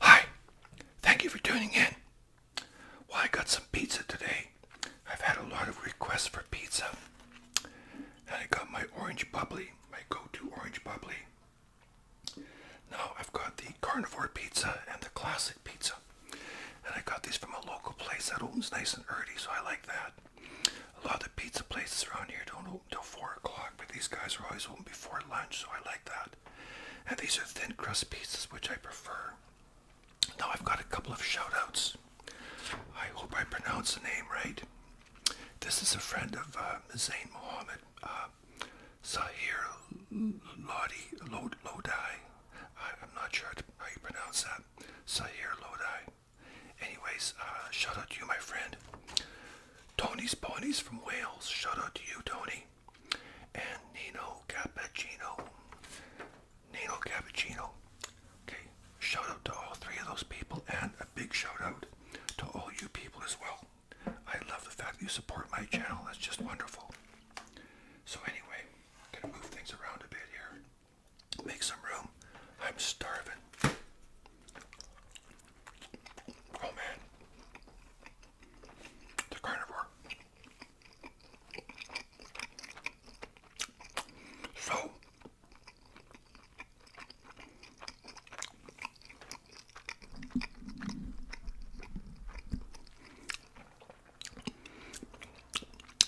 Hi, thank you for tuning in. Well, I got some pizza today. I've had a lot of requests for pizza. And I got my orange bubbly, my go to orange bubbly. Now I've got the carnivore pizza and the classic pizza. And I got these from a local place that opens nice and early, so I like that. A lot of the pizza places around here don't open till 4 o'clock, but these guys are always open before lunch, so I like that. And these are thin crust pizzas, which I prefer. Now I've got a couple of shout outs. I hope I pronounce the name right. This is a friend of uh, Zain Mohammed. Uh, Sahir Lodi, Lodi. I, I'm not sure how you pronounce that. Sahir Lodi. Anyways, uh, shout out to you, my friend. Tony's Ponies from Wales. Shout out to you, Tony. And Nino Cappuccino. Nino Cappuccino. Okay, shout out to all three of those people and a big shout out to all you people as well. I love the fact that you support my channel. That's just wonderful. So anyway, gonna move things around a bit here. Make some room. I'm starving. Oh man. The carnivore. So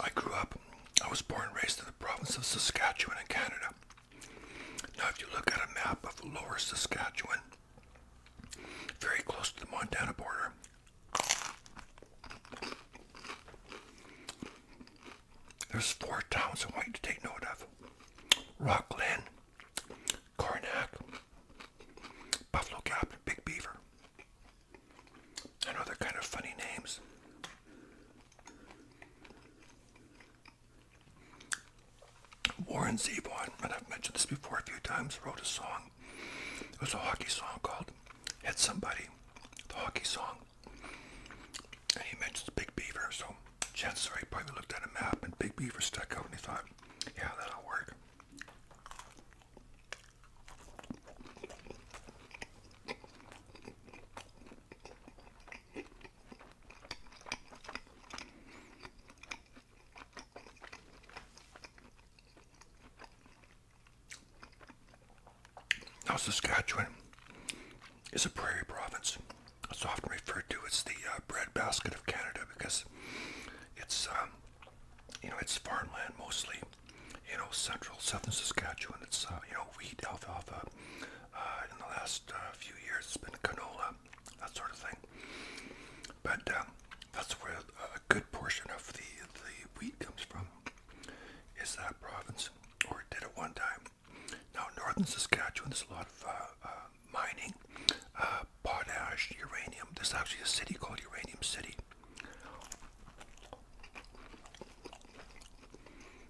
I grew up, I was born and raised in the province of Saskatchewan in Canada. Now, if you look at a map of lower Saskatchewan, very close to the Montana border, there's four towns I want you to take note of. Rockland, Karnak, Buffalo Gap, Big Beaver. I know they're kind of funny names. Warren Zevon, and I've mentioned this before a few times, wrote a song. It was a hockey song called Hit Somebody, the hockey song. And he mentions Big Beaver, so chances are he probably looked at a map and Big Beaver stuck out and he thought, yeah, that'll work. Now, Saskatchewan is a prairie province. It's often referred to as the uh, breadbasket of Canada because it's um, you know, it's farmland mostly. You know, central southern Saskatchewan. It's uh, you know, wheat, alfalfa. Uh, in the last uh, few years, it's been canola, that sort of thing. But um, that's where a good portion of the the wheat comes from. Is that province, or did at one time? Now, northern Saskatchewan. There's a lot of uh, uh, mining uh, potash, uranium. There's actually a city called Uranium City.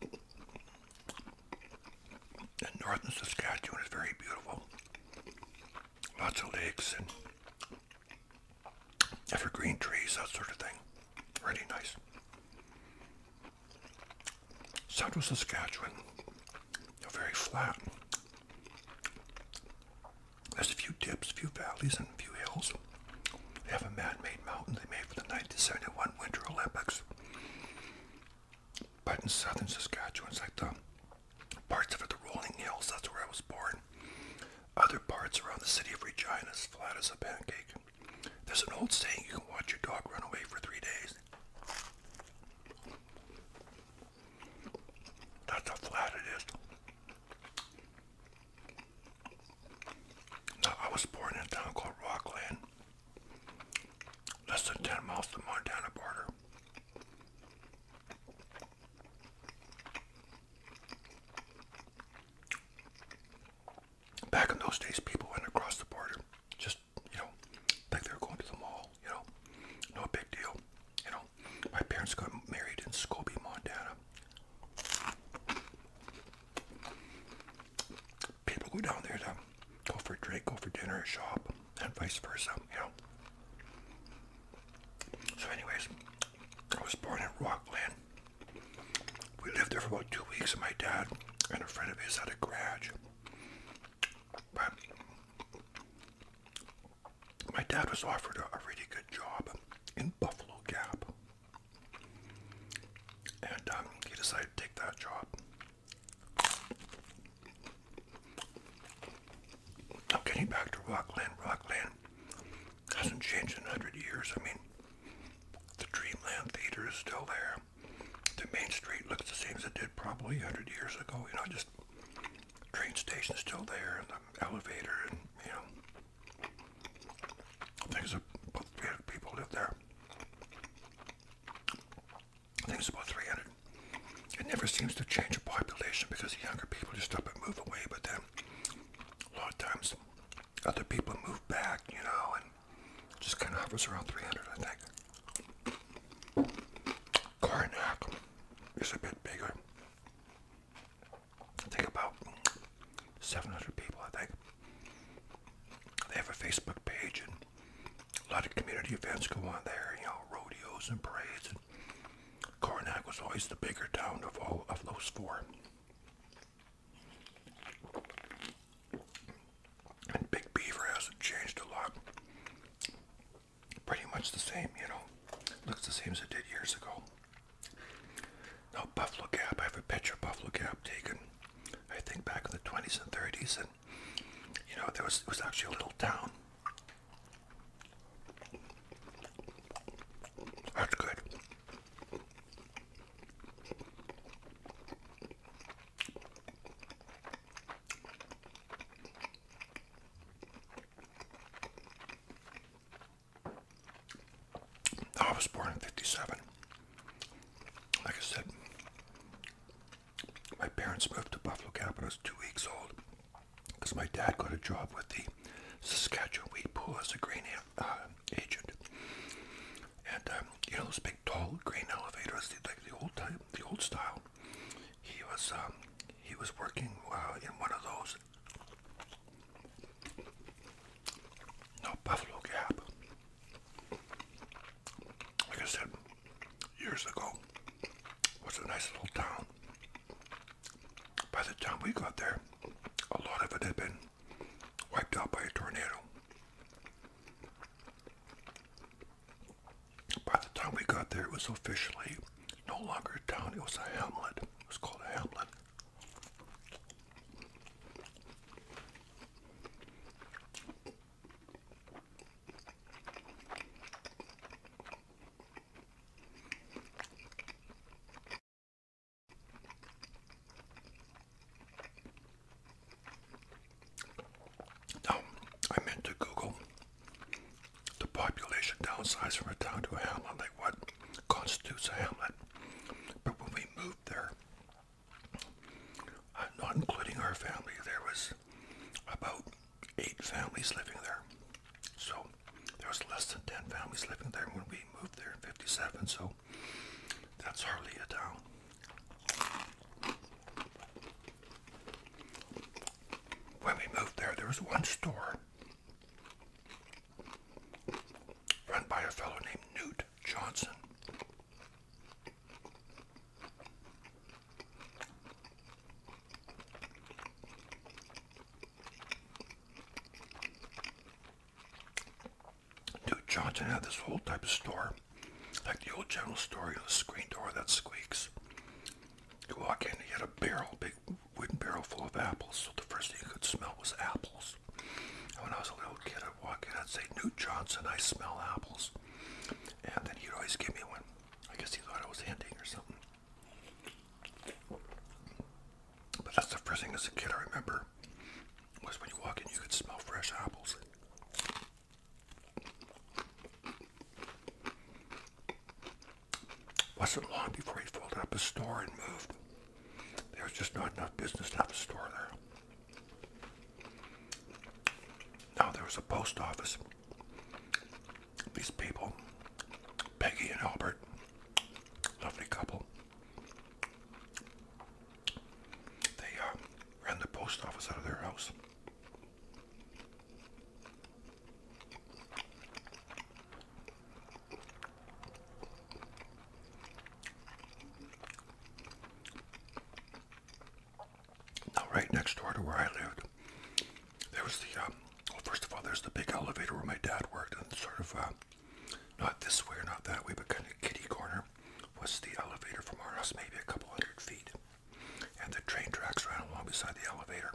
And northern Saskatchewan is very beautiful. Lots of lakes and evergreen trees, that sort of thing. Pretty nice. Central Saskatchewan they're very flat. There's a few dips, a few valleys, and a few hills. They have a man-made mountain they made for the 1971 Winter Olympics. But in southern Saskatchewan, like the parts of it, the rolling hills, that's where I was born. Other parts around the city of Regina is flat as a pancake. There's an old saying, you can watch your dog run away for three days. That's how flat it is. I was born in town called Rockland, less than 10 miles from Montana border. Back in those days, people went across the border, just, you know, like they were going to the mall you know, no big deal. You know, my parents got married in Scobie, Montana. People go down there to go for drink, go for dinner, shop, and vice versa, you know. So anyways, I was born in Rockland. We lived there for about two weeks and my dad and a friend of his had a garage my dad was offered a, really good job in Buffalo Gap, and um, he decided to take that job. I'm getting back to Rockland. Rockland hasn't changed in 100 years. I mean, the Dreamland Theater is still there. The Main Street looks the same as it did probably 100 years ago. You know, just train station is still there and the elevator and you know I think it's three hundred people live there. I think it's about 300. It never seems to change the population because the younger people just up and move away, but then a lot of times other people move back, you know, and just kind of hovers around 300, I think. Karnak is a bit bigger. I about 700 people, I think. They have a Facebook page and a lot of community events go on there, you know, rodeos and parades. And Karnak was always the bigger town of all of those four. And Big Beaver hasn't changed a lot pretty much the same, you know. Looks the same as it did years ago. Now, Buffalo Gap, I have a picture of Buffalo Gap taken, I think back in the 20s and 30s, and you know, there was, it was actually a little town. That's good. I was born in 57. Like I said, my parents moved to Buffalo Gap when I was two weeks old because my dad got a job with the Saskatchewan Wheat Pool as a grain uh, agent. And um, you know those big tall grain elevators, like the old type, the old style he was um, he was working uh, in one of those no Buffalo Gap. Like I said years ago, was a nice little town. By the time we got there, a lot of it had been wiped out by a tornado. By the time we got there, it was officially no longer a town, it was a hamlet. It was called a hamlet. Now, um, I meant to Google the population downsize from a town to a hamlet, like what constitutes a hamlet. But when we moved there, uh, not including our family, there was about eight families living there. So there was less than 10 families living there when we moved there in 57, so that's hardly a town. When we moved there, there was one store run by a fellow named Newt Johnson. Newt Johnson had this whole type of store, like the old general store, you a screen door that squeaks. You walk in, he had a barrel, big wooden barrel full of apples. So the first thing you could smell was apples. And when I was a little kid, I'd walk in, I'd say, Newt Johnson, I smell apples. And then he'd always give me one. I guess he thought I was hinting or something. But that's the first thing as a kid I remember was when you walk in, you could smell fresh apples. Wasn't long before he folded up his store and moved. There was just not enough business to have a store there. Now there was a post office. These people, Peggy and Albert, lovely couple, they uh, ran the post office out of their house. Now, right next door to where I lived, there was the, um, well, first of all, there's the big elevator where my dad worked, and sort of, uh, not this way or not that way, but kind of kitty corner was the elevator from our house, maybe a couple hundred feet and the train tracks ran along beside the elevator.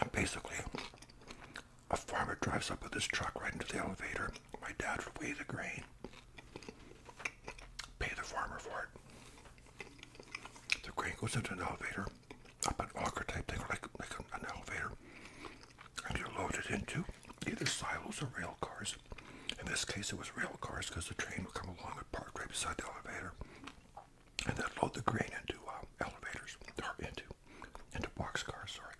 And basically, a farmer drives up with his truck right into the elevator. My dad would weigh the grain, pay the farmer for it. The grain goes into an elevator, up an auger type thing, like, like an elevator and you're loaded into either silos or rail cars. In this case, it was rail cars because the train would come along and park right beside the elevator, and then load the grain into uh, elevators or into into boxcars. Sorry.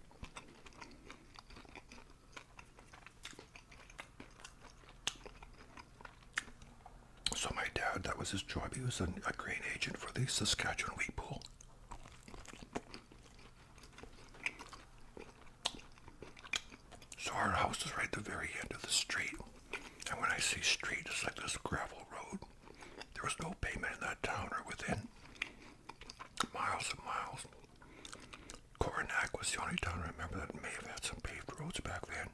So my dad, that was his job. He was a grain agent for the Saskatchewan Wheat Pool. So our house is right at the very end of the street. And when I say street, it's like this gravel road. There was no pavement in that town or within miles and miles. Coronac was the only town I remember that may have had some paved roads back then.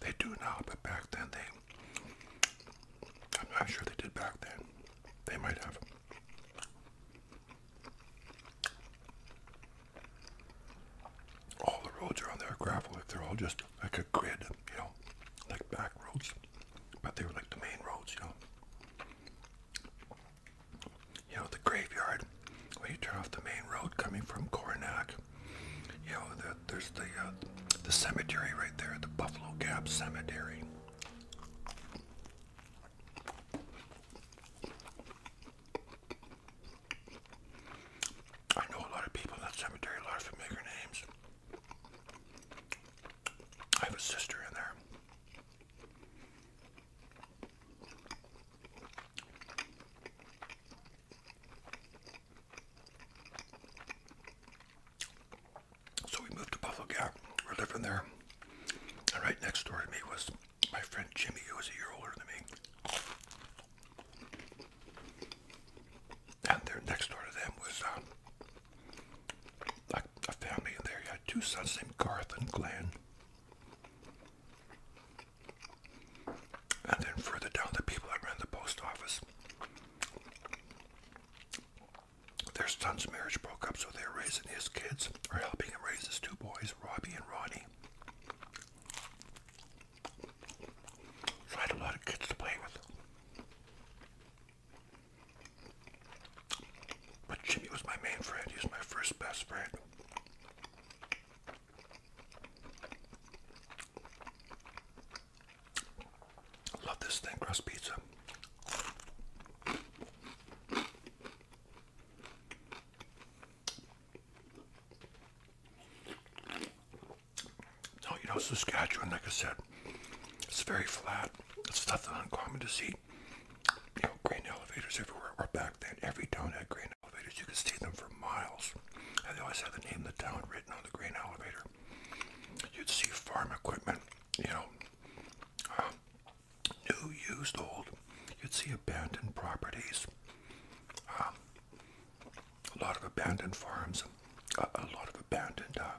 They do now, but back then they, I'm not sure they did back then. They might have. All the roads around there are gravel. Like they're all just like a grid, you know, like back roads. But they were like the main roads, you know. You know, the graveyard, when you turn off the main road coming from Cornac, you know, there's the, uh, the cemetery right there, the Buffalo Gap Cemetery. I know a lot of people in that cemetery, a lot of familiar names. I have a sister in there. So we moved to Buffalo Gap. We're living there. And right next door to me was my friend Jimmy, who was a year older than me. And there, next door to them was uh, a, family And there. You had two sons named Garth and Glenn. And then further down, the people that ran the post office. Their son's marriage broke up, so they and his kids are helping him raise his two boys, Robbie and Ronnie. So a lot of kids to play with. But Jimmy was my main friend. He was my first best friend. Love this thing, crust pizza. Oh, you know, Saskatchewan, like I said, it's very flat. It's nothing uncommon to see. You know, grain elevators everywhere. Or back then, every town had grain elevators. You could see them for miles. And they always had the name of the town written on the grain elevator. You'd see farm equipment, you know, um, new, used, old. You'd see abandoned properties, um, a lot of abandoned farms, a, lot of abandoned, uh,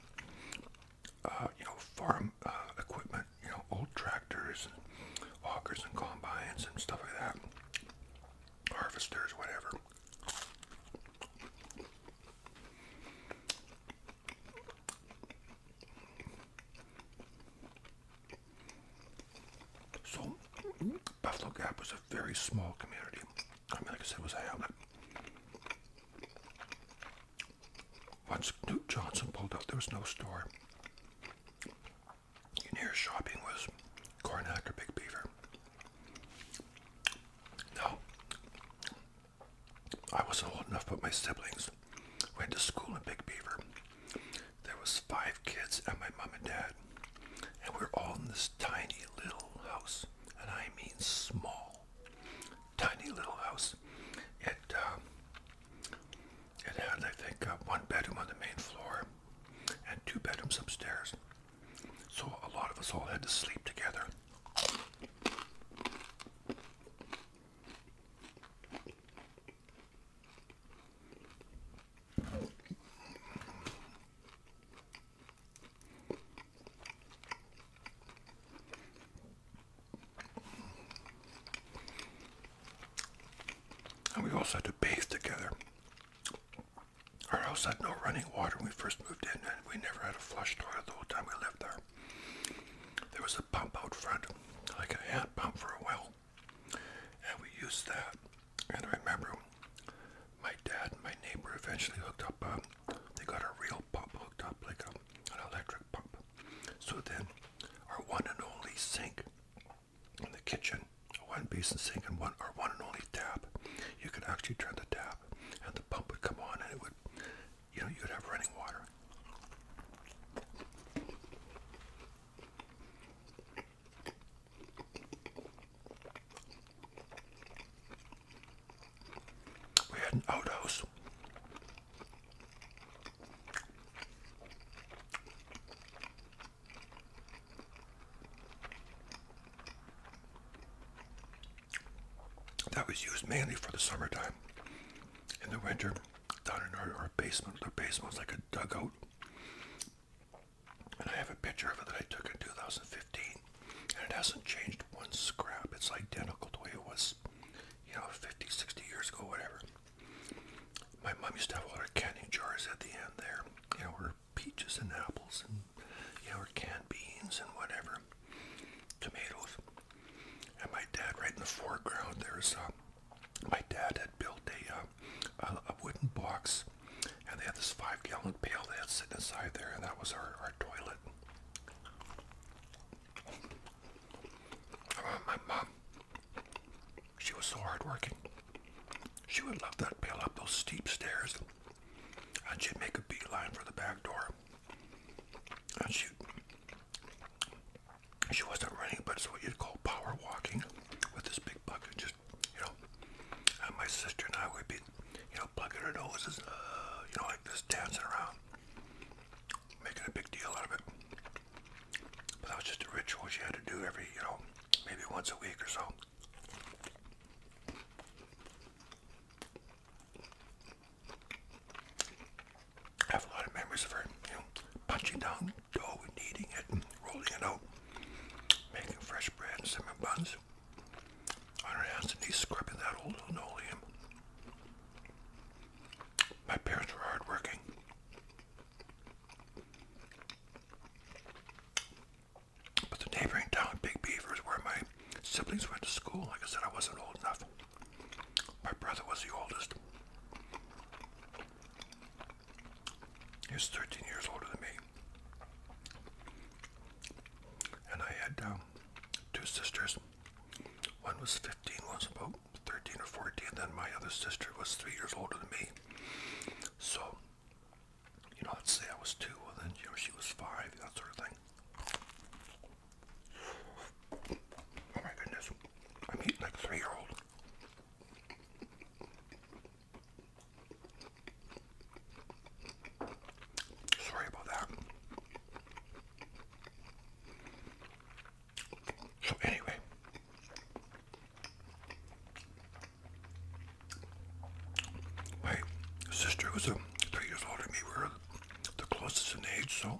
uh, you know, farm uh, equipment. You know, old tractors, and and combines, and stuff like that. Harvesters, whatever. So Buffalo Gap was a very small community. I mean, like I said, was a hamlet. Once Newt Johnson pulled up, there was no store. Your shopping was Cornack or Big Beaver. Now, I wasn't old enough, but my siblings went to school in Big Beaver. There was five kids and my mom and dad. And we are all in this tiny little house. And I mean small. Tiny little house. It, um, it had, I think, uh, one bedroom on the main floor and two bedrooms upstairs. So a lot of us all had to sleep together. And we also had to bathe together. Our house had no running water when we first moved in, and we never had a flush toilet the whole time we lived there. There was a pump out front, like a hand pump for a well. And we used that. And I remember my dad and my neighbor eventually hooked up. Um, they got a real pump hooked up, like an electric pump. So then our one and only sink in the kitchen, one basin sink and one our one and only tap, you could actually turn the tap and the pump would come on and it would, you know, you'd have running water. We had an Odo's. That was used mainly for the summertime. In the winter, down in our, our basement. Their basement was like a dugout. And I have a picture of it that I took in 2015. And it hasn't changed one scrap. It's identical to the way it was, you know, 50, 60 years ago, whatever. My mom used to have all her canning jars at the end there. You know, her peaches and apples and, you know, her canned beans and whatever. Tomatoes. And my dad, right in the foreground, there's, um, my dad had built uh, a, a wooden box, and they had this five-gallon pail they had sitting inside there, and that was our, our toilet. my mom, she was so hardworking. She would love that pail up those steep stairs, and she'd make a beeline for the back door, and she she wasn't running, but it's what you'd call power walking with this big bucket. Just, you know, and my sister and I would be, you know, plugging our noses, uh, you know, like this, dancing around, making a big deal out of it. But that was just a ritual she had to do every, you know, maybe once a week or so. I have a lot of memories of her, you know, punching down dough and kneading it and rolling it out, making fresh bread and cinnamon buns on her hands and knees, scrubbing that old linoleum. My parents were hardworking. But the neighboring town, Big Beaver, is where my siblings went to school. Like I said, I wasn't old enough. My brother was the oldest. He was 13 years older than me. And I had um, two sisters. One was 15, one was about 13 or 14, and then my other sister was three years older than me. So, you know, let's say I was two, and then, you know, she was five, that sort of thing. Oh my goodness, I'm eating like three-year-old. Sorry about that. So, anyway, my sister was um, three years older than me. We were the closest in age, so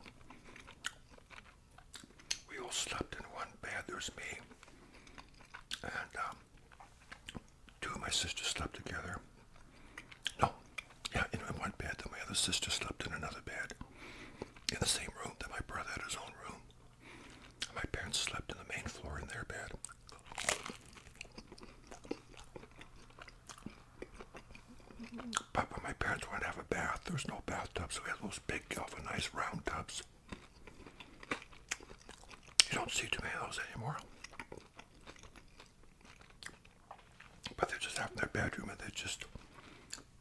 we all slept in one bed. There's me and um, two of my sisters slept together. No, yeah, in one bed. Then my other sister slept in another bed in the same room. Then my brother had his own room. my parents slept in the main floor in their bed. But my parents wanted to have a bath. There's no bathtub, so we had those big, of nice round tubs. You don't see too many of those anymore. But they are just have in their bedroom and they just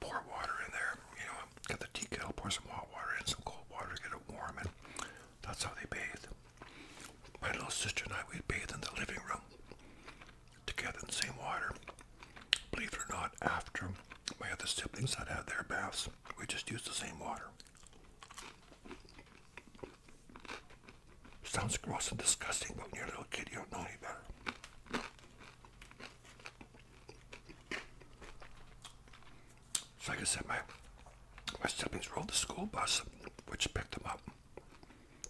pour water in there. You know, get the teakettle, pour some hot water in, some cold water, get it warm, and that's how they bathe. My little sister and I, we'd bathe in the living room together in the same water believe it or not, after my other siblings had had their baths, we just used the same water. Sounds gross and disgusting, but when you're a little kid, you don't know any better. So like I said, my, my siblings rode the school bus, which picked them up,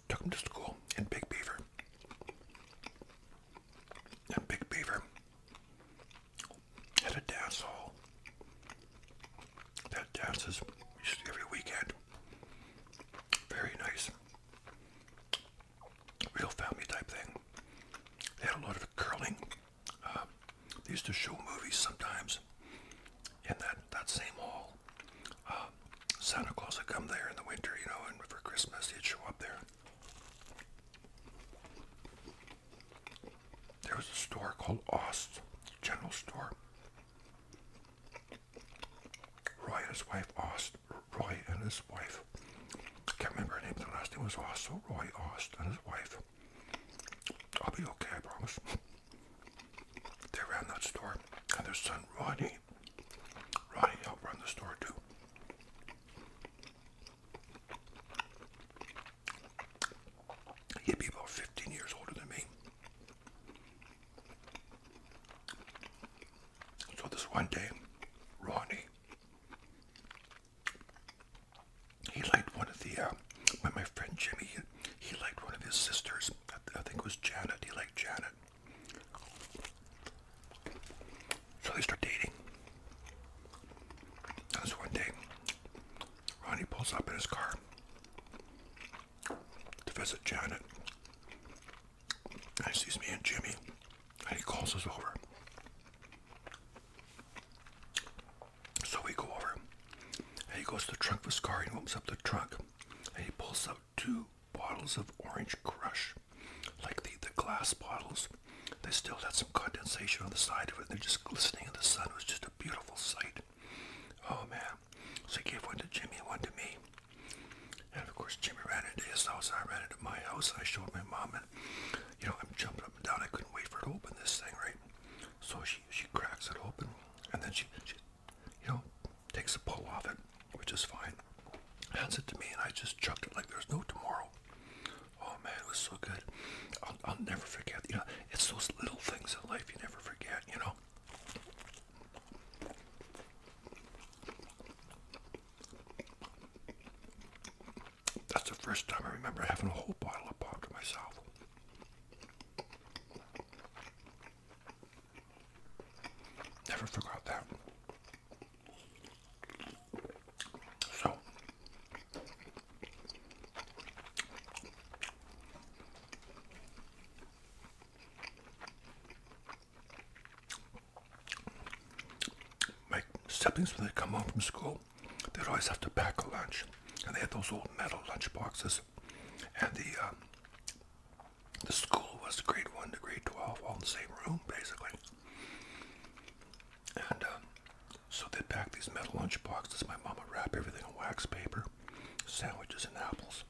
took them to school in Big Beaver. And Big Beaver had a dance hall that dances every weekend. Very nice. Real family type thing. They had a lot of curling. Um, they used to show movies sometimes in that, that same hall. Um, Santa Claus would come there in the winter, you know, and for Christmas he'd show up there. There was a store called Ost General Store. Roy and his wife Ost. Roy and his wife. I can't remember her name. The last name was Ost. So Roy Ost and his wife. I'll be okay, I promise. They ran that store, and their son Ronnie. Ronnie helped run the store too. He'd be about 15 years older than me. So this one day, Ronnie, he liked one of the, uh, my friend Jimmy, he liked one of his sisters. I, I think it was Janet. He liked Janet. So they start dating. And so one day, Ronnie pulls up in his car to visit Janet. And he sees me and Jimmy, and he calls us over. So we go over, and he goes to the trunk of his car, and he opens up the trunk, and he pulls out two bottles of Orange Crush like the, the glass bottles. They still had some condensation on the side of it. They're just glistening in the sun. It was just a beautiful sight. Oh man. So he gave one to Jimmy and one to me. And of course Jimmy ran into his house. I ran into my house. I showed my mom and you know, I'm jumping up and down. I couldn't wait for it to open this thing, right? So she, she cracks it open and then she, she you know, takes a pull off it, which is fine hands it to me, and I just chucked it like there's no tomorrow. Oh man, it was so good. I'll, never forget. You know, it's those little things in life you never forget. You know. That's the first time I remember having a whole bottle of pop to myself. Never forgot that. So my siblings when they come home from school, they'd always have to pack a lunch, and they had those old metal lunch boxes, and the um, the school was grade one to grade twelve, all in the same room, basically. And um, so they pack these metal lunch boxes. My mama would wrap everything in wax paper, sandwiches and apples.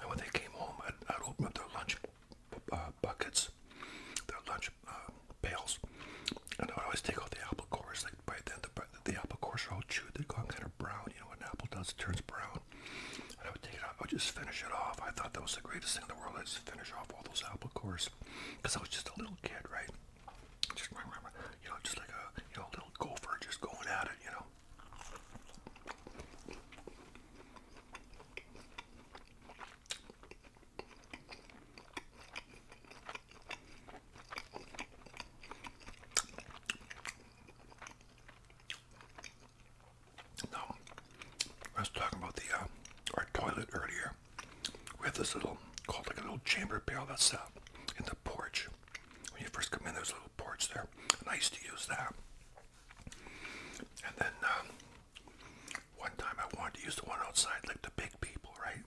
And when they came home, I'd, open up their lunch uh, buckets, their lunch uh, pails, and I would always take off the apple cores. Like by then, the, apple cores are all chewed. they are gone kind of brown. You know what apple does? It turns brown. And I would take it out. I would just finish it off. I thought that was the greatest thing in the world. I just finish off all those apple cores because I was just a little kid, right? Just you know, just like a you know little gopher just going at it, you know. Now, I was talking about the uh, our toilet earlier. We have this little, called like a little chamber pail that's uh, in the porch. When you first come in, there's little porch there, Nice to use that. And then um, one time I wanted to use the one outside, like the big people, right?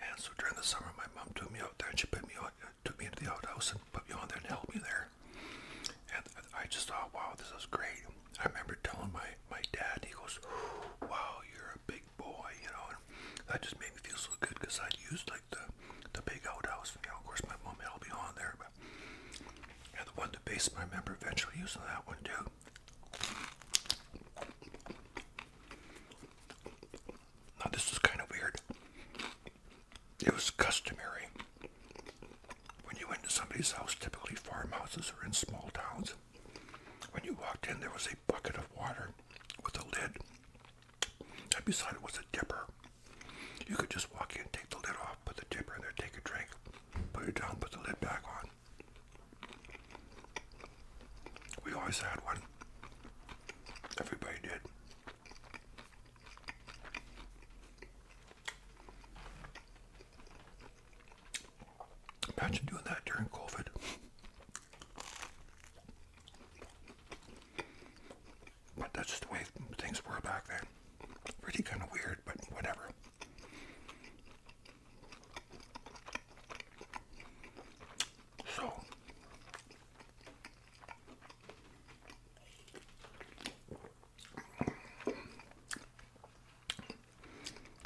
And so during the summer, my mom took me out there, and she put me on, uh, took me into the outhouse, and put me on there and held me there. And I just thought, wow, this is great. I remember telling my, my dad, he goes, wow, you're a big boy, you know, that just made me feel so good because I'd used like the, the big outhouse, you know, of course my mom I'll be on there, but, yeah, the one, to base my memory eventually using that one too. Now this is kind of weird. It was customary when you went to somebody's house, typically farmhouses or in small towns, when you walked in, there was a bucket of water with a lid. And beside it was a dipper. You could just walk in, take the lid off, put the dipper in there, take a drink, put it down, put the lid back on. We always had one. Everybody did. Imagine doing that during COVID. But that's just the way things were back then. Really kind of weird, but whatever. So,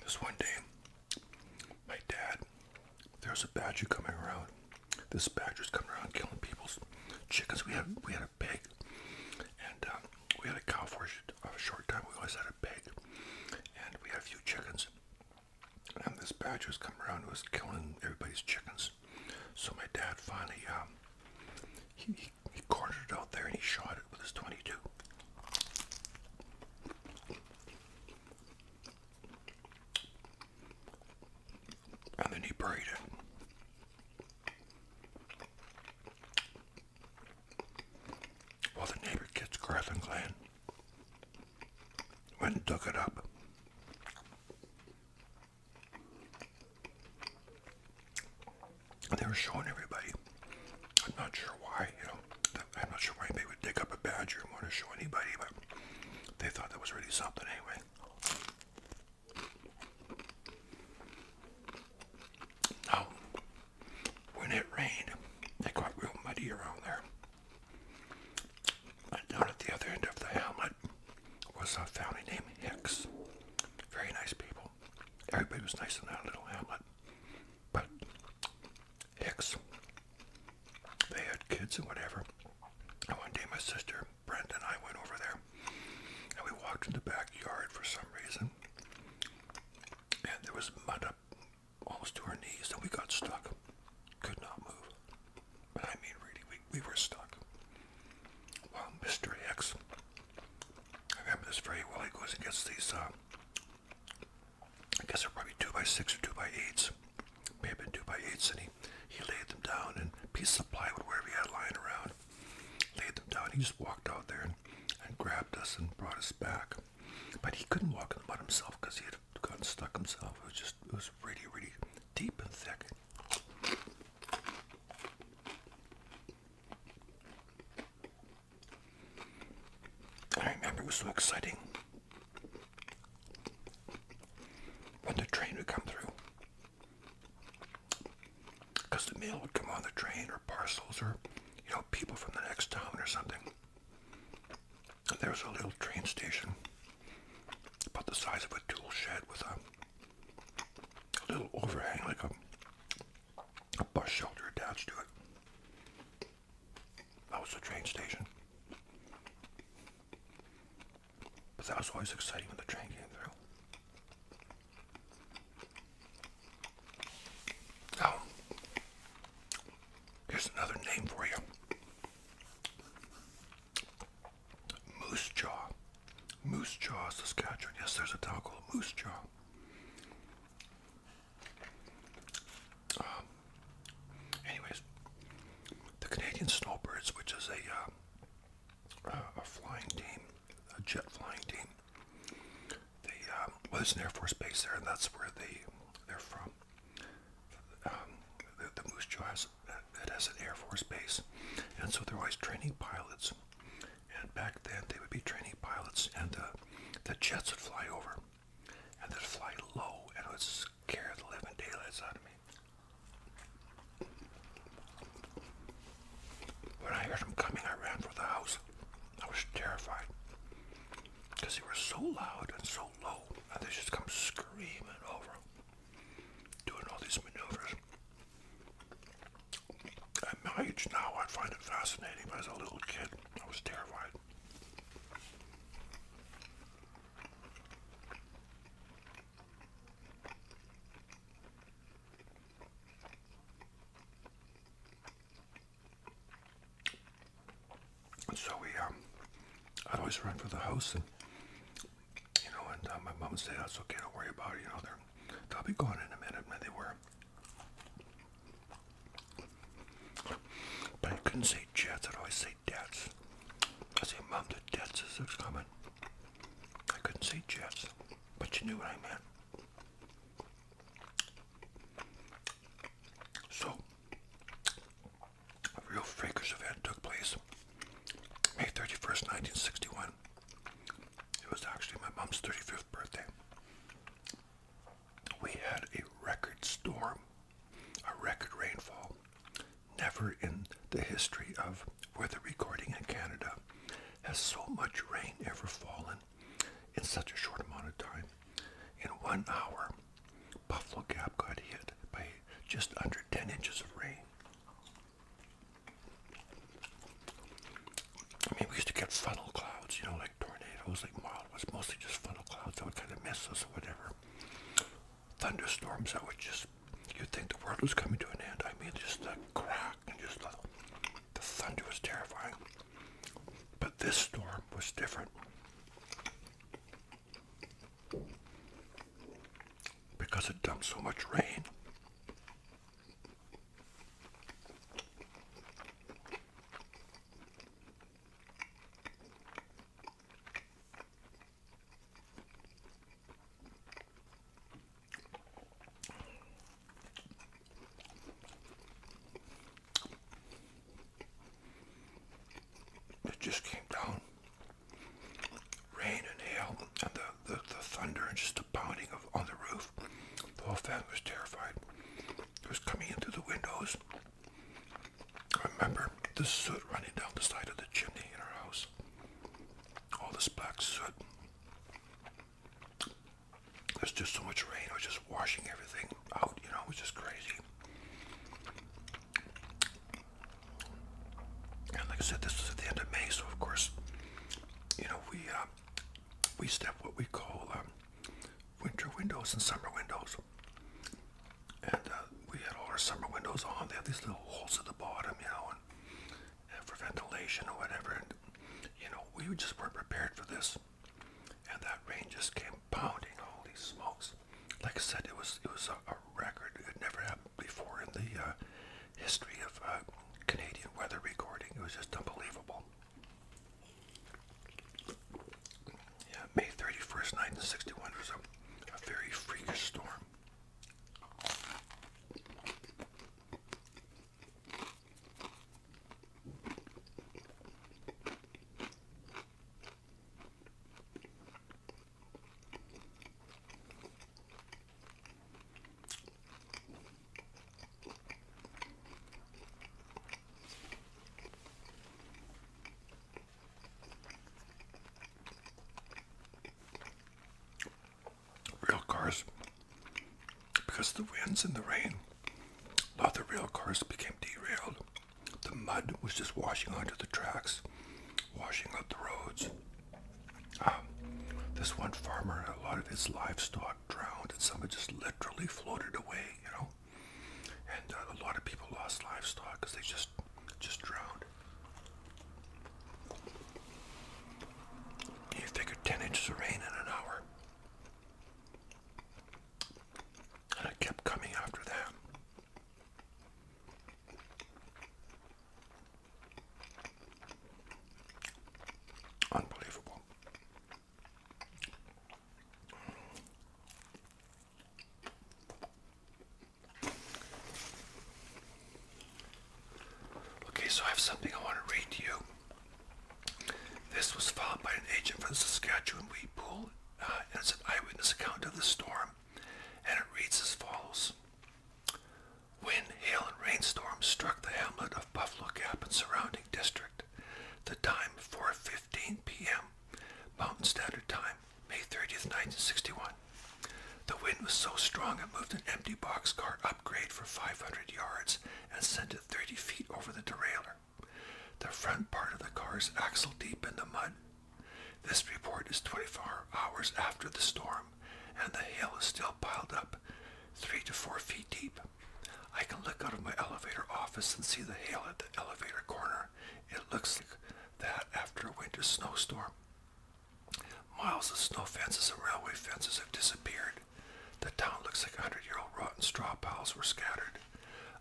this one day, my dad, there's a badger coming around. This badger's coming around killing people's chickens. We had we had a pig, and um, we had a cow for a short time. We always had a pig, and we had a few chickens. And this badger's coming around. It was killing everybody's chickens. So my dad finally um, he he, cornered it out there and he shot it with his 22. And then he buried it. While the neighbor kids, Garth and Glenn, went and dug it up they were showing everybody. I'm not sure why, you know, I'm not sure why anybody would dig up a badger and want to show anybody, but they thought that was really something anyway. Now, when it rained, they got real muddy around there. down at the other end of the hamlet was a family named Hicks. Very nice people. Everybody was nice in that little hamlet. But Hicks, they had kids and whatever. And one day my sister, Brent, and I went over there. And we walked in the backyard for some reason. And there was mud up almost to our knees. And we got stuck. Could not move. I mean, really, we, we were stuck. Well, Mr. Hicks, I remember this very well. He goes and gets these uh, I guess they're probably two by six or two by eights. May have been two by eights, and he, he laid them down and pieces of plywood wherever he had lying around. Laid them down. He just walked out there and, and grabbed us and brought us back. But he couldn't walk in the mud himself because he had gotten stuck himself. It was just it was really, really deep and thick. I remember it was so exciting when the train would come through because the mail would come on the train or parcels or you know people from the next town or something and there was a little train station about the size of a tool shed with a, a little overhang like a a bus shelter attached to it. That was the train station. But that was always exciting when the train came through. Now, here's another name for you. Moose Jaw. Moose Jaw, Saskatchewan. Yes, there's a town called Moose Jaw. Um, anyways, the Canadian Snowbirds, which is a uh, uh, a, flying team, a jet flying team. there's um, an Air Force base there, and that's where they they're from. Um, the, the Moose Jaw has it has an Air Force base, and so they're always training pilots and back then, they would be training pilots, and uh, the jets would fly over, and they'd fly low, and it would scare the living daylights out of me. When I heard them coming, I ran for the house. I was terrified because they were so loud and so low, and they just come screaming over, doing all these maneuvers. At my age now, I find it fascinating, as a little kid, I was terrified. so we, um, I'd always run for the house, and you know, and uh, my mom would say, "That's okay, don't worry about it." You know, they're they'll be gone in a minute, and they were. But I couldn't say jets, I'd always say debts. I say mom, the debts is coming. I couldn't say jets, but you knew what I meant. So, a real freakers event took place May 31st, 1961. It was actually my mom's 35th birthday we had a record storm, a record rainfall. Never in the history of weather recording in Canada has so much rain ever fallen in such a short amount of time. In one hour, Buffalo Gap got hit by just under 10 inches of rain. I mean, we used to get funnel clouds, you know, like tornadoes, like mild was mostly just funnel clouds that would kind of miss us or whatever. Thunderstorms that would just, you'd think the world was coming to an end. I mean, just the crack and just the thunder was terrifying. But this storm was different. Because it dumped so much rain, it just came down. Rain and hail and the, the, the thunder and just the pounding of on the roof. The whole family was terrified. It was coming in through the windows. I remember the soot running down the side of the chimney in our house. All this black soot. There's just so much rain. It was just washing everything out, you know, it was just crazy. And like I said, this is at the end of May, so of course, you know, we uh, we step what we call um, winter windows and summer windows. And uh, we had all our summer windows on. They have these little holes at the bottom, you know, and, for ventilation or whatever. And you know, we just weren't prepared for this. And that rain just came pounding. Holy smokes! Like I said, it was it was a, record. It never happened before in the uh, history of uh, Canadian weather recording. It was just unbelievable. Yeah, May 31st, night 1961 was a very freakish storm. Real cars, because of the winds and the rain, a lot of the cars became derailed. The mud was just washing onto the tracks, washing up the roads. Um, this one farmer, and a lot of his livestock drowned, and some just literally floated away, you know. And uh, a lot of people lost livestock because they just just drowned. You figure 10 inches of rain in an hour. And it kept coming after that. Unbelievable. Okay, so I have something I want to read to you. This was found by an agent from the Saskatchewan Wheat Pool, uh, and it's an eyewitness account of the storm, and it reads as follows. Wind, hail, and rainstorms struck the hamlet of Buffalo Gap and surrounding district. The time 4:15 p.m. Mountain Standard Time, May 30th, 1961. The wind was so strong it moved an empty boxcar upgrade for 500 yards and sent it 30 feet over the derailleur. The front part of the car is axle deep in the mud. This report is 24 hours after the storm, and the hail is still piled up, three to four feet deep. I can look out of my elevator office and see the hail at the elevator corner. It looks like that after a winter snowstorm. Miles of snow fences and railway fences have disappeared. The town looks like a 100-year-old rotten straw piles were scattered.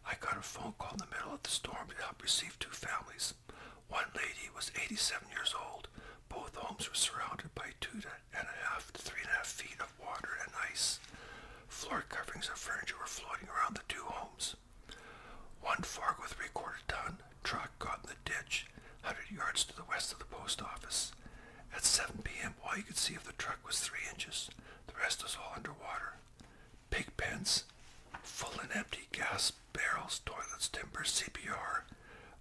I got a phone call in the middle of the storm to help receive two families. One lady was 87 years old. Both homes were surrounded by two to and a half to three and a half feet of water and ice. Floor coverings of furniture were floating around the two homes. One fog with three quarter ton truck got in the ditch 100 yards to the west of the post office. At 7 p.m., all you could see of the truck was three inches. The rest was all underwater. Pig pens, full and empty gas barrels, toilets, timber, CPR,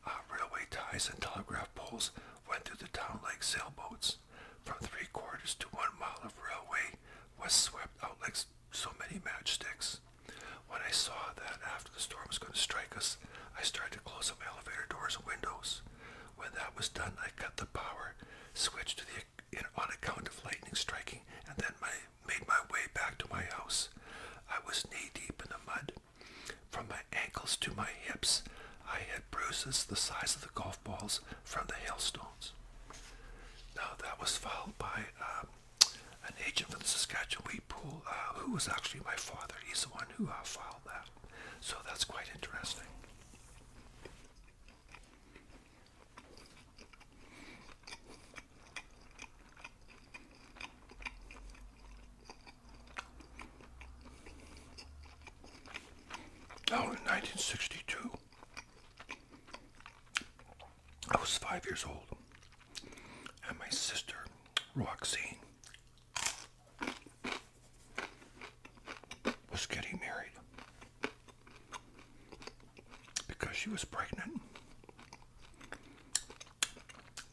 uh, railway ties, and telegraph poles went through the town like sailboats. From three quarters to one mile of railway was swept out like so many matchsticks. When I saw that after the storm was going to strike us, I started to close some elevator doors and windows. When that was done, I cut the power, switched to the in on account of lightning striking, and then I made my way back to my house. I was knee deep in the mud. From my ankles to my hips, I had bruises the size of the golf balls from the hailstones. Now that was followed by um, an agent from the Saskatchewan Wheat Pool, uh, who was actually my father. He's the one who uh, filed that. So that's quite interesting. Now, in 1962. I was five years old, and my sister, Roxanne, was getting married because she was pregnant.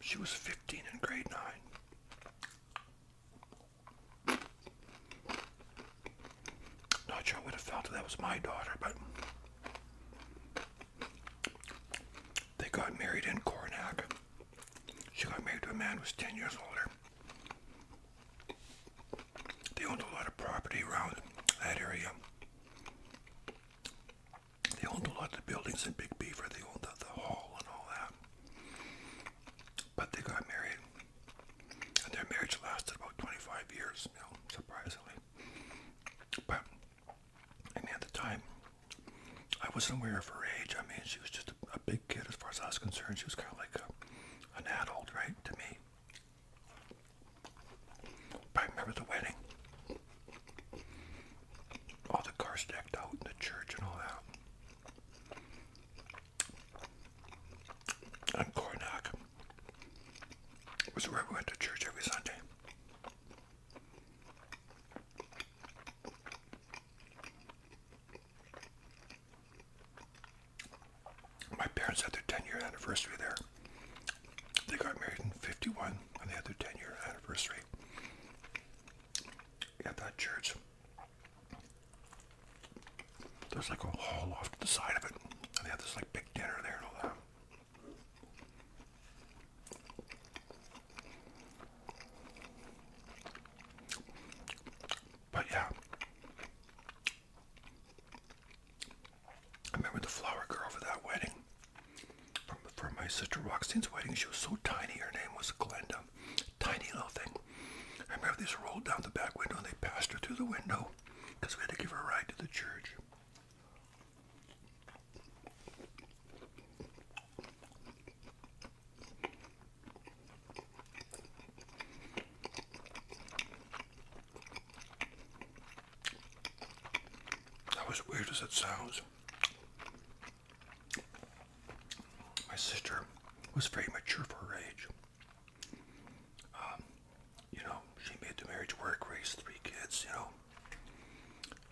She was 15 in grade 9. Not sure I would have felt that was my daughter, but they got married in Cornac. She got married to a man who was 10 years older. They owned a lot of property around that area. They owned a lot of buildings in Big Beaver. They owned the hall and all that. But they got married, and their marriage lasted about 25 years, you know, surprisingly. But, I mean, at the time, I wasn't aware of her age. I mean, she was just a, a big kid as far as I was concerned. She was kind of like a, an adult, right, to me. But I remember the wedding. All the cars decked out in the church and all that on Cornock. It was where we went to church every Sunday. My parents had their 10 year anniversary there. They got married in 51 and they had their 10 year anniversary at that church. There's like a hole off to the side of it. And they have this like big dinner there and all that. But yeah. I remember the flower girl for that wedding. From, from my sister Roxanne's wedding, she was so tiny. Her name was Glenda. Tiny little thing. I remember these rolled down the back window and they passed her through the window we had to give her a ride to the church. That was weird as it sounds. My sister was very mature for her age. Um, you know, she made the marriage work, raised three kids, you know,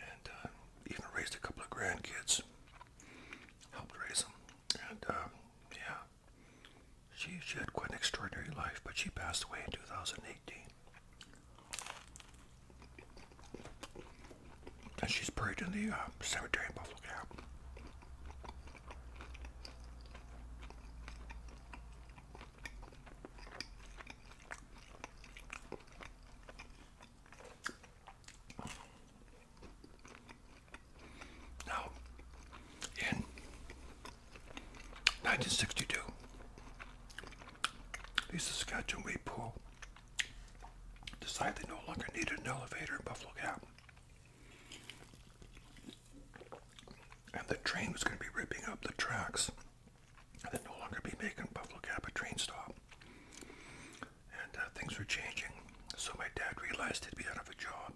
and uh, even raised a couple of grandkids, helped raise them, and um, yeah, she she had quite an extraordinary life. But she passed away in 2018, and she's buried in the uh, cemetery in Buffalo Gap. Now, in 1962, the Saskatchewan Wheat Pool decided they no longer needed an elevator in Buffalo Gap. And the train was going to be ripping up the tracks. And they'd no longer be making Buffalo Gap a train stop. And uh, things were changing. So my dad realized he'd be out of a job.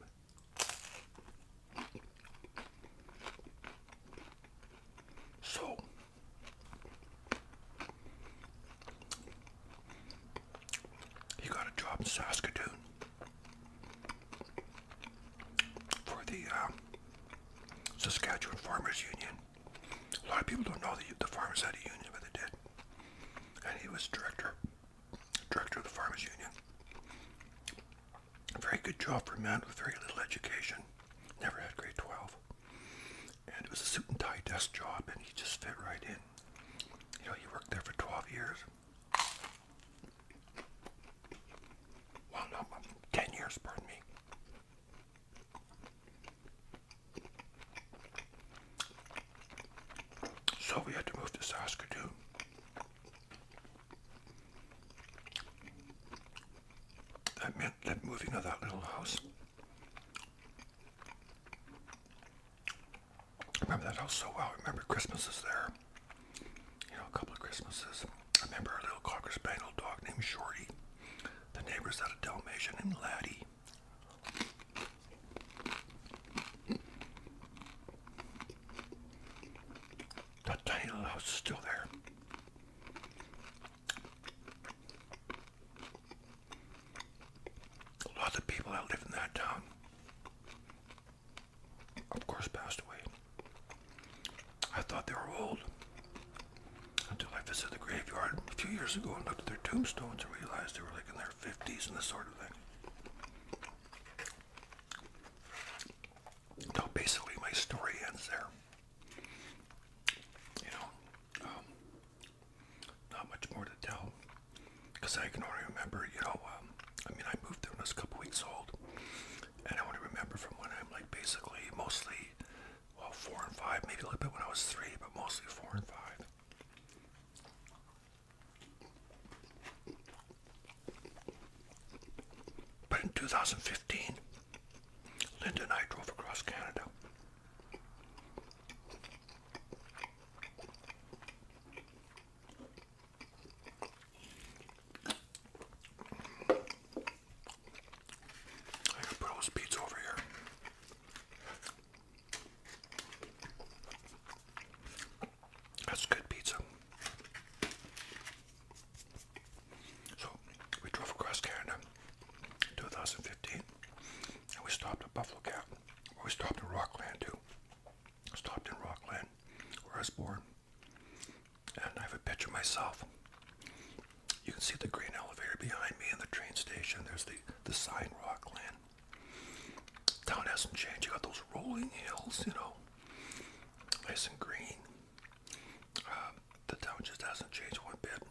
So he got a job in Saskatoon for the uh, Saskatchewan Farmers Union. A lot of people don't know that the farmers had a union, but they did. And he was director, director of the Farmers Union. A very good job for a man with very little education. Never had grade 12. And it was a suit and tie desk job, and he just fit right in. You know, he worked there for 12 years. Well, no, 10 years, pardon me. So we had to move to Saskatoon. That meant that moving of that little house remember that house so well. I remember Christmases there. You know, a couple of Christmases. remember a little Cocker Spaniel dog named Shorty. The neighbors had a Dalmatian named Laddie. That tiny little house is still there. Lots of people that lived in that town of course, passed away. I thought they were old until I visited the graveyard a few years ago and looked at their tombstones and realized they were like in their 50s and this sort of thing. So basically, my story ends there. You know, um, not much more to tell because I can only remember, you know, um, I mean, I moved there when I was a couple weeks old, and I only remember from when I'm like basically mostly, well, four and five, maybe a little bit when I was three, but mostly four and five. But in 2015, Linda and I drove across Canada. I got Bro's Pizza over here. That's good pizza. So we drove across Canada in 2015 and we stopped at Buffalo Gap. We stopped in Rockland too stopped in Rockland, where I was born, and I have a picture of myself. You can see the green elevator behind me and the train station. There's the, the sign Rockland. Town hasn't changed. You got those rolling hills, you know, nice and green. Uh, the town just hasn't changed one bit.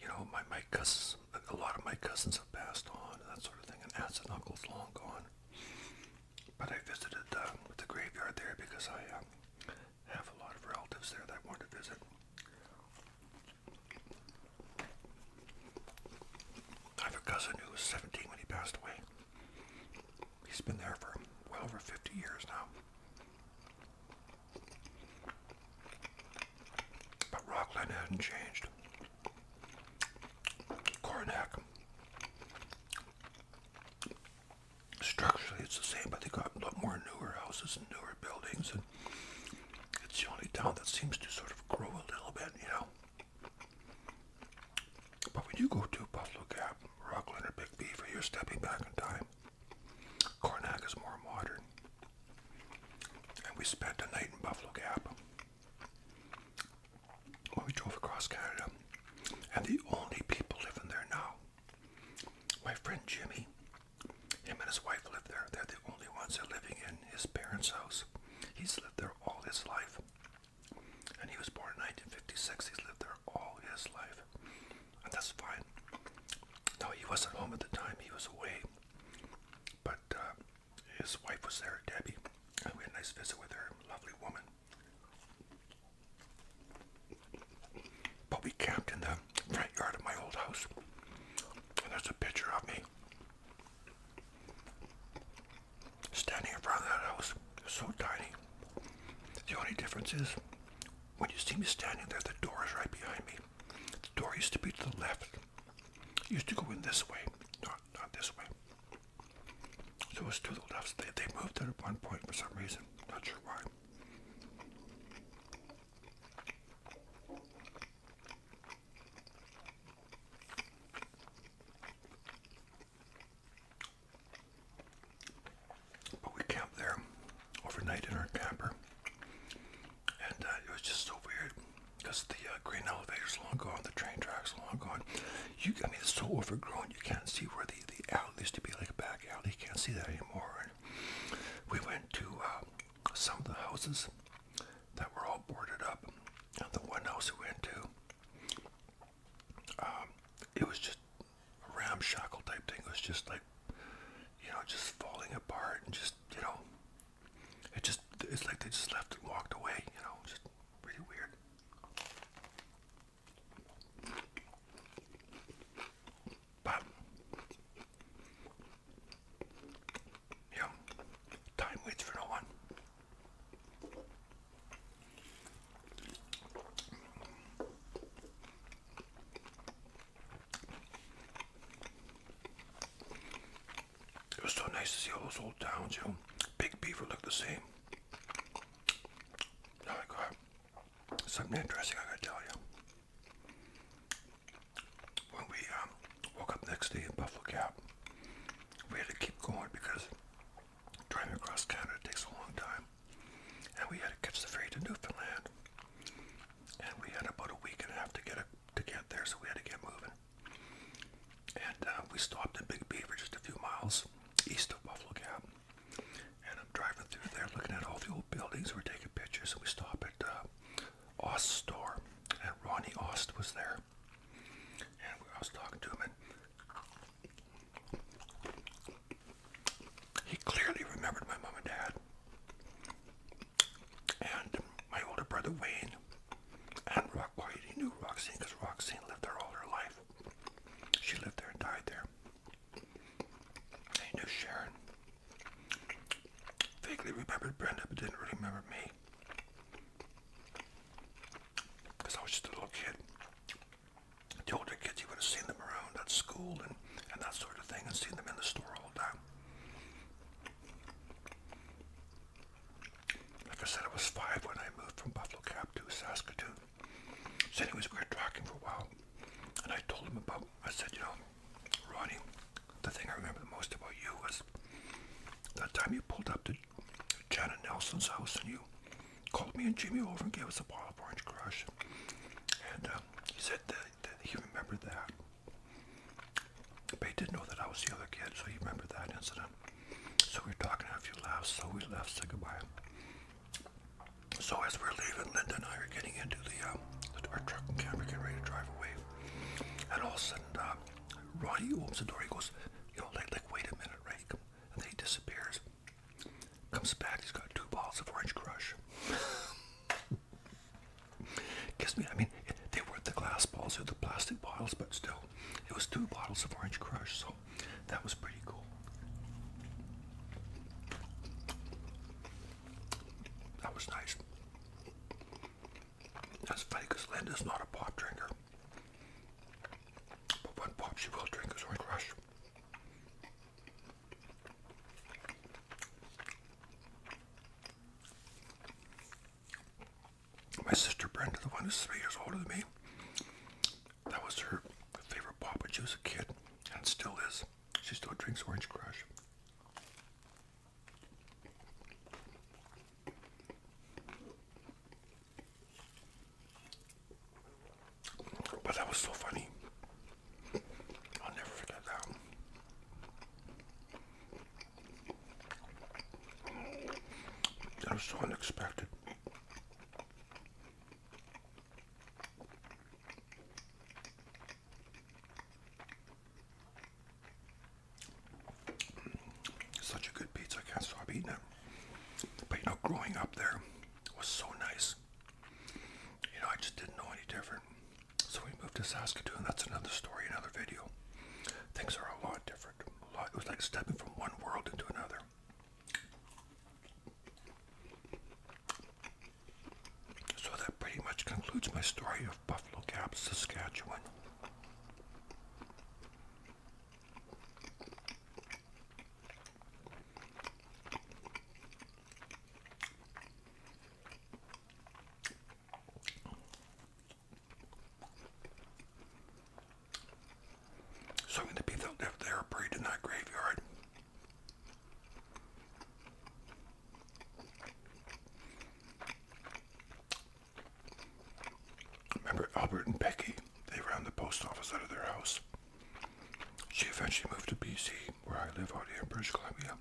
You know, my, my cousins, a lot of my cousins have passed on that sort of thing, and aunts and uncles long gone. But I visited uh, the graveyard there because I um, have a lot of relatives there that I want to visit. I have a cousin who was 17 when he passed away. He's been there for well over 50 years now. But Rockland hasn't changed. Karnak. Structurally, it's the same, but they got a lot more newer houses and newer buildings, and it's the only town that seems to sort of grow a little bit, you know. But when you go to Buffalo Gap, Rockland, or Big Beaver, you're stepping back in time. Karnak is more modern. And we spent a night in Buffalo Gap. Well, we drove across Canada, and the only people living there now, my friend Jimmy, him and his wife live there. They're the only ones that are living in his parents' house. He's lived there all his life. And he was born in 1956. He's lived there all his life. And that's fine. No, he wasn't home at the time. He was away. But uh, his wife was there, Debbie, we had a nice visit with her, lovely woman. But we camped in the front yard of my old house, and there's a picture of me standing in front of that house. so tiny. The only difference is when you see me standing there, the door is right behind me. The door used to be to the left. used to go in this way, not not this way. So it was to the left. They, they moved it at one point for some reason. Not sure why. But we camped there overnight in our camper. And uh, it was just so weird because the uh, green elevator's long gone, the train tracks long gone. You, I mean, it's so overgrown. You can't see where the the alley used to be, like a back alley. You can't see that anymore. And we went to uh, some of the houses that were all boarded up, and the one house we went to, um, it was just a ramshackle type thing. It was just like, you know, just falling apart and just, you know, it just, it's like they just left and walked away, you know, just really weird. But, you time waits for no one. It was so nice to see all those old towns, you know. Big Beaver looked the same. Oh my god. Something interesting I gotta tell you. When we um, woke up next day in Buffalo Gap, we had to keep going because driving across Canada takes a long time. And we had to catch the ferry to Newfoundland. And we had about a week and a half to get, to get there, so we had to get moving. And uh, we stopped in Big Beaver just a few miles east of Buffalo Gap. And I'm driving through there looking at all the old buildings. We're taking pictures and we stop at uh, Ost's store. And Ronnie Ost was there. And I was talking to him and he clearly remembered my mom and dad. And my older brother Wayne and Rock, he knew Roxanne because Roxanne lived there all her life. She lived there and died there. He knew Sharon. Vaguely remembered Brenda, but didn't really remember me. Because I was just a little kid. The older kids, you would have seen them around at school and, and that sort of thing, and seen them in the store all the time. Like I said, I was five when I moved from Buffalo Cap to Saskatoon. So anyways, we were talking for a while. And I told him about, I said, you know, Ronnie, the thing I remember the most about you was that time you pulled up to Janet Nelson's house and you called me and Jimmy over and gave us a bottle of orange crush. And um, he said that, that he remembered that. But he did know that I was the other kid, so he remembered that incident. So we are talking, had a few laughs, so we left, said goodbye. So as we're leaving, Linda and I are getting into um, the, our truck and camera, getting ready to drive away. And all of a sudden, uh, Ronnie opens the door. He goes, you know, like, like wait a minute, right? And then he disappears. Comes back. He's got two balls of orange crush. Kiss me. I mean, they weren't the glass balls, they were the plastic balls, but still. It was two bottles of Orange Crush, so that was pretty cool. That was nice. That's funny because Linda's not a pop drinker. But one pop she will drink is Orange Crush my sister Brenda, the one who's three years older than me, that was her favorite pop when she was a kid, and still is. She still drinks Orange Crush. But that was so funny. I'll never forget that. That was so unexpected. Such a good pizza, I can't stop eating it. But you know, growing up there was so nice. You know, I just didn't know any different. So we moved to Saskatoon. That's another story, another video. Things are a lot different. It was like stepping from one world into another. So that pretty much concludes my story of Buffalo Gap, Saskatchewan. So many people lived there buried in that graveyard. Remember Albert and Becky? They ran the post office out of their house. She eventually moved to BC, where I live out here in British Columbia.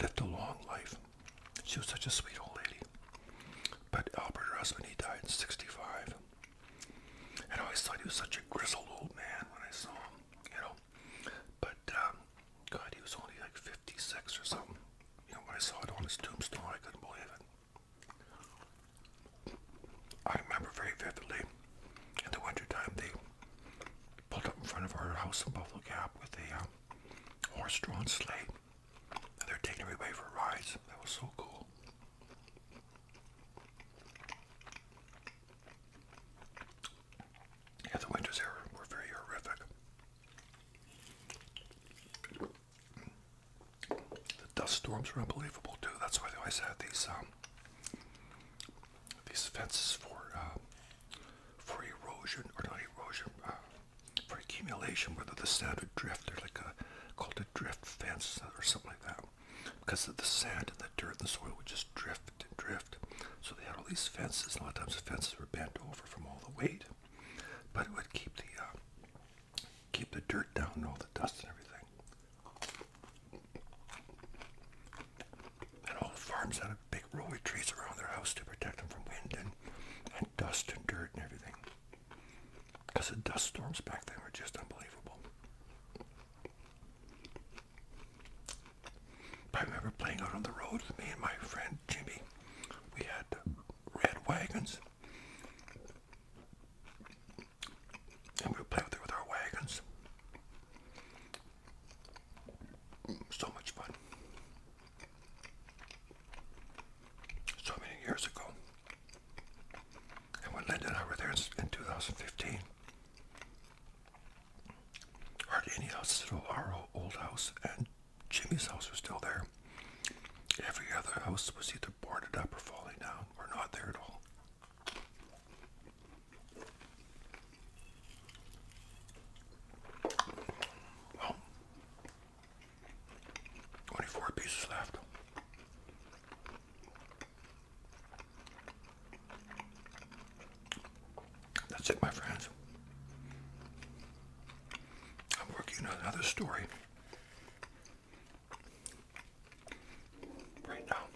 Lived a long life. She was such a sweet old lady. But Albert, her husband, he died in 65. And I thought he was such a grizzled old man when I saw him, you know. But, um, God, he was only like 56 or something. You know, when I saw it on his tombstone, I couldn't believe it. I remember very vividly, in the winter time they pulled up in front of our house in Buffalo Gap with a uh, horse-drawn sleigh they're taking everybody for rides. That was so cool. Yeah, the winters here were very horrific. The dust storms were unbelievable too. That's why they always had these um, these fences for uh, for erosion or not erosion, uh, for accumulation, whether the sand would drift, or like a called a drift fence or something like that, because of the sand and the dirt and the soil would just drift and drift. So they had all these fences, and a lot of times the fences were bent over from all the weight, but it would keep the uh, keep the dirt down and all the dust and everything. And all the farms had big roly trees around their house to protect them from wind and, dust and dirt and everything. Because the dust storms back then were just unbelievable. I remember playing out on the road with me and my friend Jimmy. We had red wagons. And we would play with, with our wagons. So much fun so many years ago. And when Linda and I were there in 2015, hardly any houses at our old house and Jimmy's house were still there. Every other house was either boarded up or falling down or not there at all. Only pieces left. That's it, my friends. I'm working on another story right now.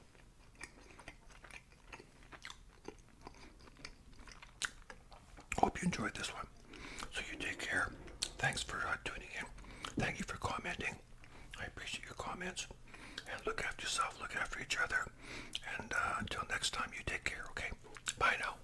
Hope you enjoyed this one. So you take care. Thanks for uh, tuning in. Thank you for commenting. I appreciate your comments. And look after yourself, look after each other. And uh, until next time, you take care, okay? Bye now.